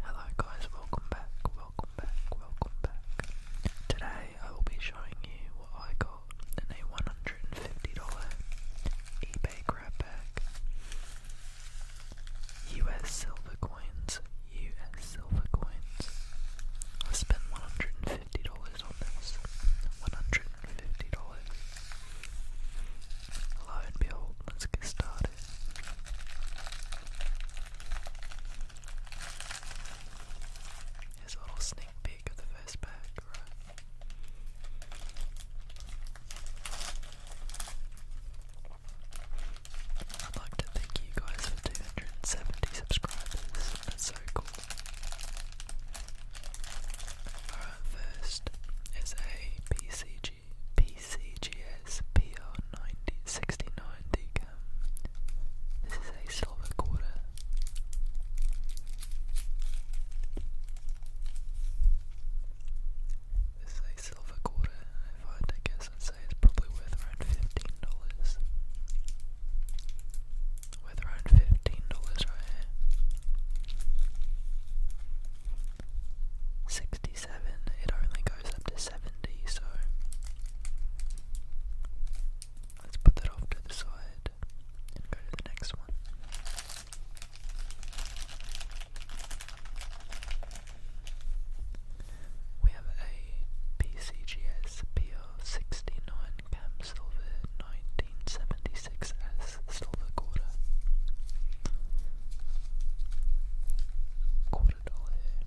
Hello guys, welcome back, welcome back, welcome back. Today I will be showing you what I got in a $150 eBay grab bag. US silver coins, US silver coins. I spent $150 on this. $150 lo and behold, let's get started. Here's a little sneak peek of the first pack, I'd like to thank you guys for 270 subscribers. That's so cool. Alright, first is a PCG PCGS PR9069 decam. This is a silver quarter. This is a silver quarter, and if I guess, i probably worth around fifteen dollars. Worth around fifteen dollars right Sixty it only goes up to 70, so let's put that off to the side and go to the next one. We have a PCGS PL69 Cam Silver 1976S Silver Quarter. Quarter dollar hair.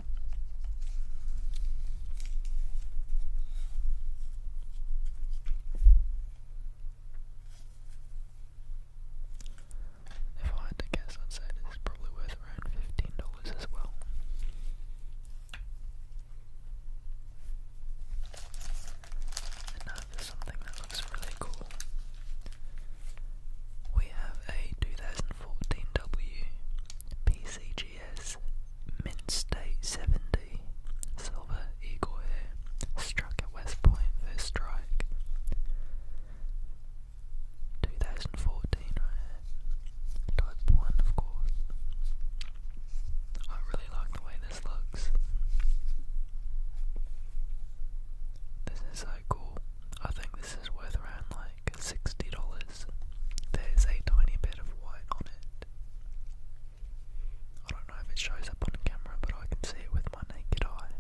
If I had to guess, I'd say this is probably worth around fifteen dollars as well. And now uh, for something that looks really cool. We have a 2014W PCGS Mint State 70 Silver Eagle struck at West Point first strike. 2014 right Type 1 of course. I really like the way this looks. This is so cool. I think this is worth around like $60. There's a tiny bit of white on it. I don't know if it shows up on camera, but I can see it with my naked eye.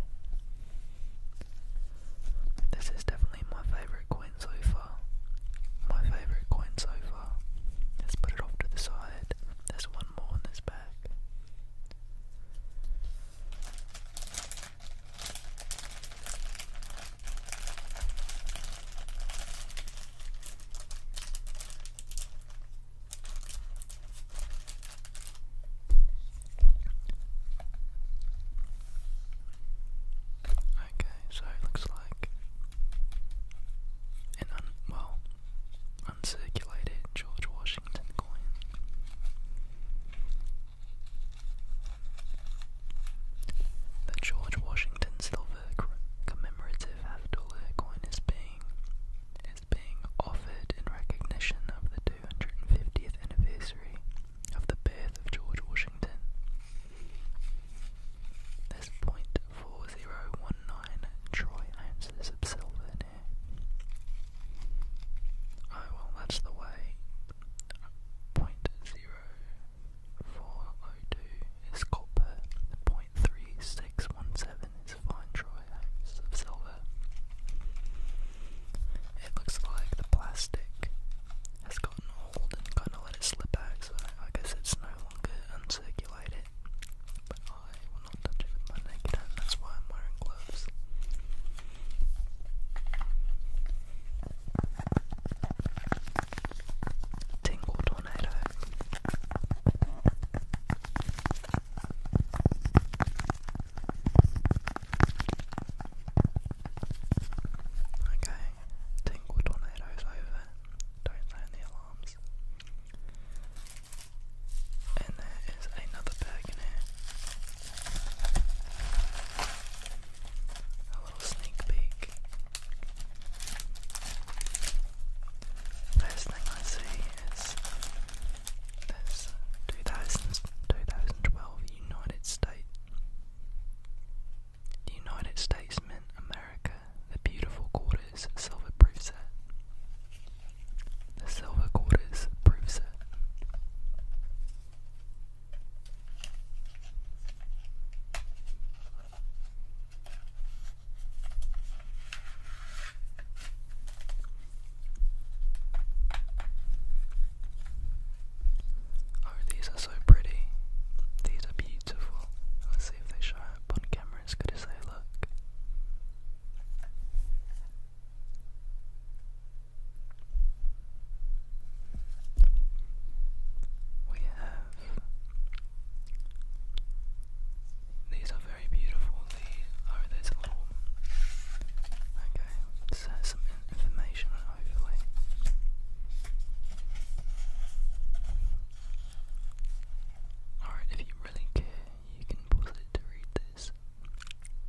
This is definitely my favourite coin so far. My favourite coin so far. Let's put it off to the side. There's one more in this bag. Okay, so it looks like an un well uncirculated George Washington the George Washington silver commemorative half dollar coin is being is being offered in recognition of the 250th anniversary of the birth of George Washington. This 0.4019 troy ounces of silver Oh well, that's the way. 0.0402 is copper, 0.3617 is fine troy-ounce of silver. It looks like the plastic has gotten old and kind of let it slip out, so I guess it's no longer uncirculated. But I I'll touch my naked hand. That's why I'm wearing gloves. Tingle tornado. Okay, tingle tornado's over. Don't sound the alarms. And there is another bag in here. A little sneak peek. First thing I see is this 2012 United States. The United States meant America, the beautiful quarters silver proof set. The silver quarters proves it. Oh, these are so pretty. These are beautiful. Let's see if they show up on camera good as they look. We have these are very beautiful. These are this little okay. This has some information hopefully. Alright, if you really care, you can pause it to read this this.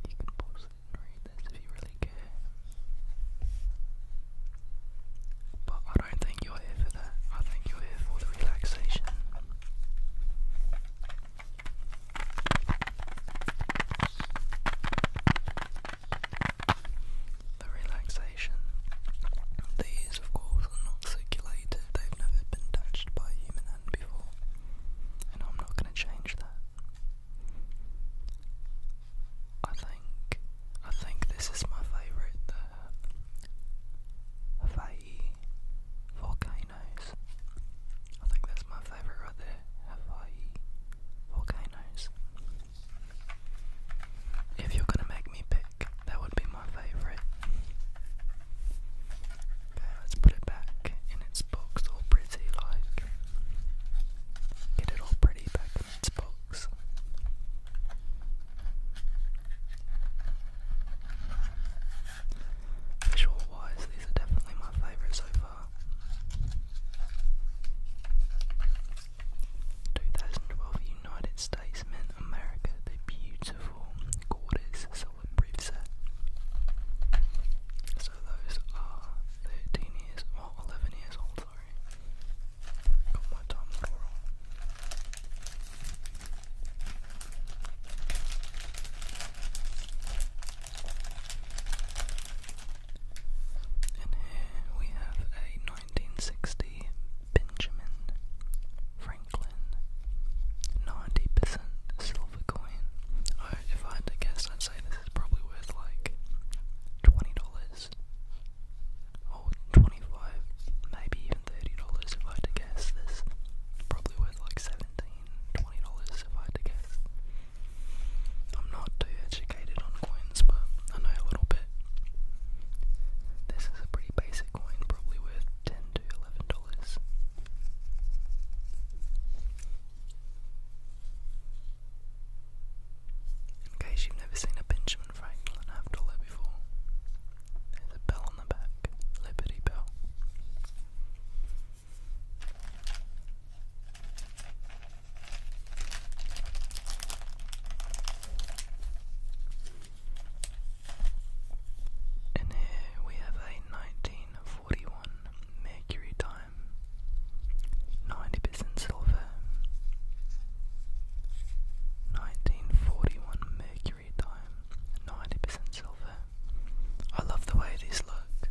You can pause it read this if you really care. But I don't think you're here for that. I think you're here for the relaxation. The relaxation. These, of course, are not circulated, they've never been touched by human hand before and I'm not going to change that. I think I think this is my favorite the uh, Hawaii volcanoes. I think that's my favorite right there, Hawaii volcanoes. If you're gonna make me pick, that would be my favorite. Okay, let's put it back in its box, all pretty like. Get it all pretty back in its box. Visual wise, these are definitely my favourite so far. 2012 United States meant America the beautiful quarters Selwyn briefset. So those are 13 years, or well, 11 years old, sorry. Got my time wrong. And here we have a 1960 Benjamin Franklin. Franklin. 90% silver coin. I, oh, if I had to guess, I'd say this is probably worth like $20 or 25 maybe even $30 if I had to guess. This probably worth like 17 $20 if I had to guess. I'm not too educated on coins, but I know a little bit. This is a pretty basic coin, probably worth 10 to $11 colors. In case you've never seen a Benjamin Franklin Afterlife before, there's a bell on the back, Liberty Bell. And here we have a 1941 Mercury time, 90 silver. 1941 Mercury time, 90 silver. I love the way these look.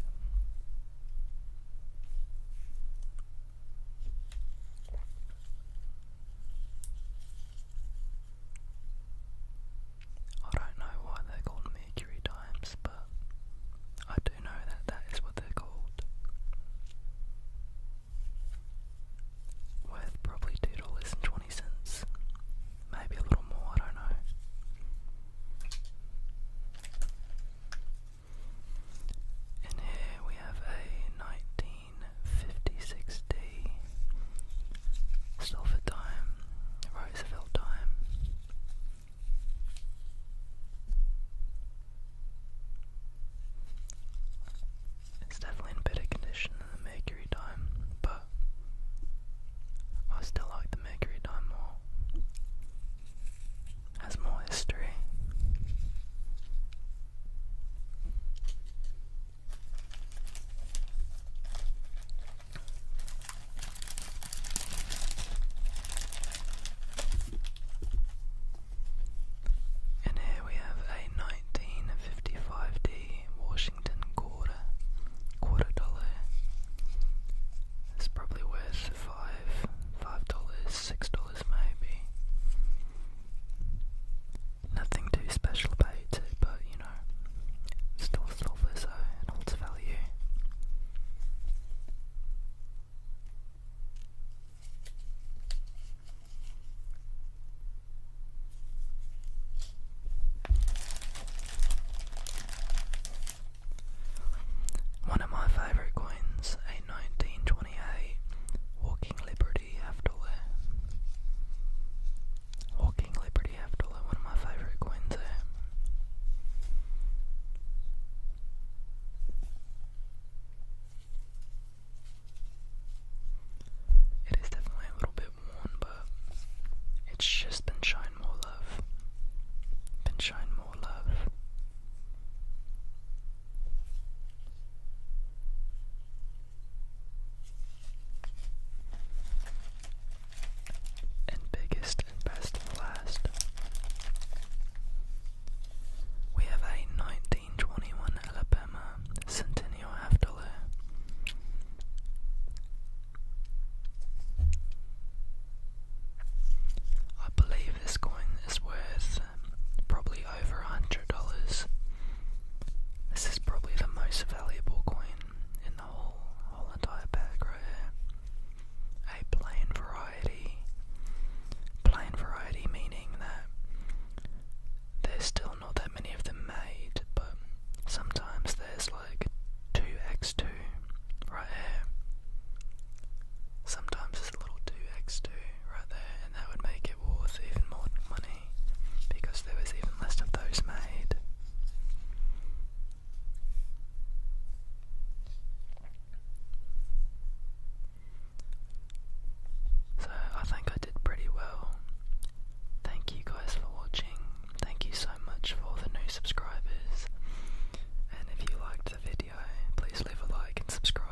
I don't know why they're called mercury dimes, but I do know that that is what they're called. Worth probably two dollars and twenty cents, maybe a little more. I don't know. And here we have a 1956D Salford time, Roosevelt time. It's definitely in better condition than the Mercury time, but I still like the Mercury time more. has more history. And here we have a 1955D Washington quarter, quarter dollar. It's probably worth five, five dollars, six dollars maybe nothing too special about it, but you know, it's still silver, so it holds value. One of my favourite coins, a 1928 Walking Liberty Afterwear. Walking Liberty after all, one of my favourite coins eh? It is definitely a little bit worn, but it's just been shine more love. Been shine more love and biggest and best and last. We have a 1921 Alabama Centennial half dollar. I believe this coin is worth um, probably over a hundred dollars. This is probably the most valuable coin in the whole whole entire bag right here. A plain variety. Plain variety meaning that there's still not that many of them made, but sometimes there's like 2x2 right here. Sometimes it's a little 2x2 right there, and that would make it worth even more money because there was even less of those made. So I think I did pretty well. Thank you guys for watching. Thank you so much for the new subscribers. And if you liked the video, please leave a like and subscribe.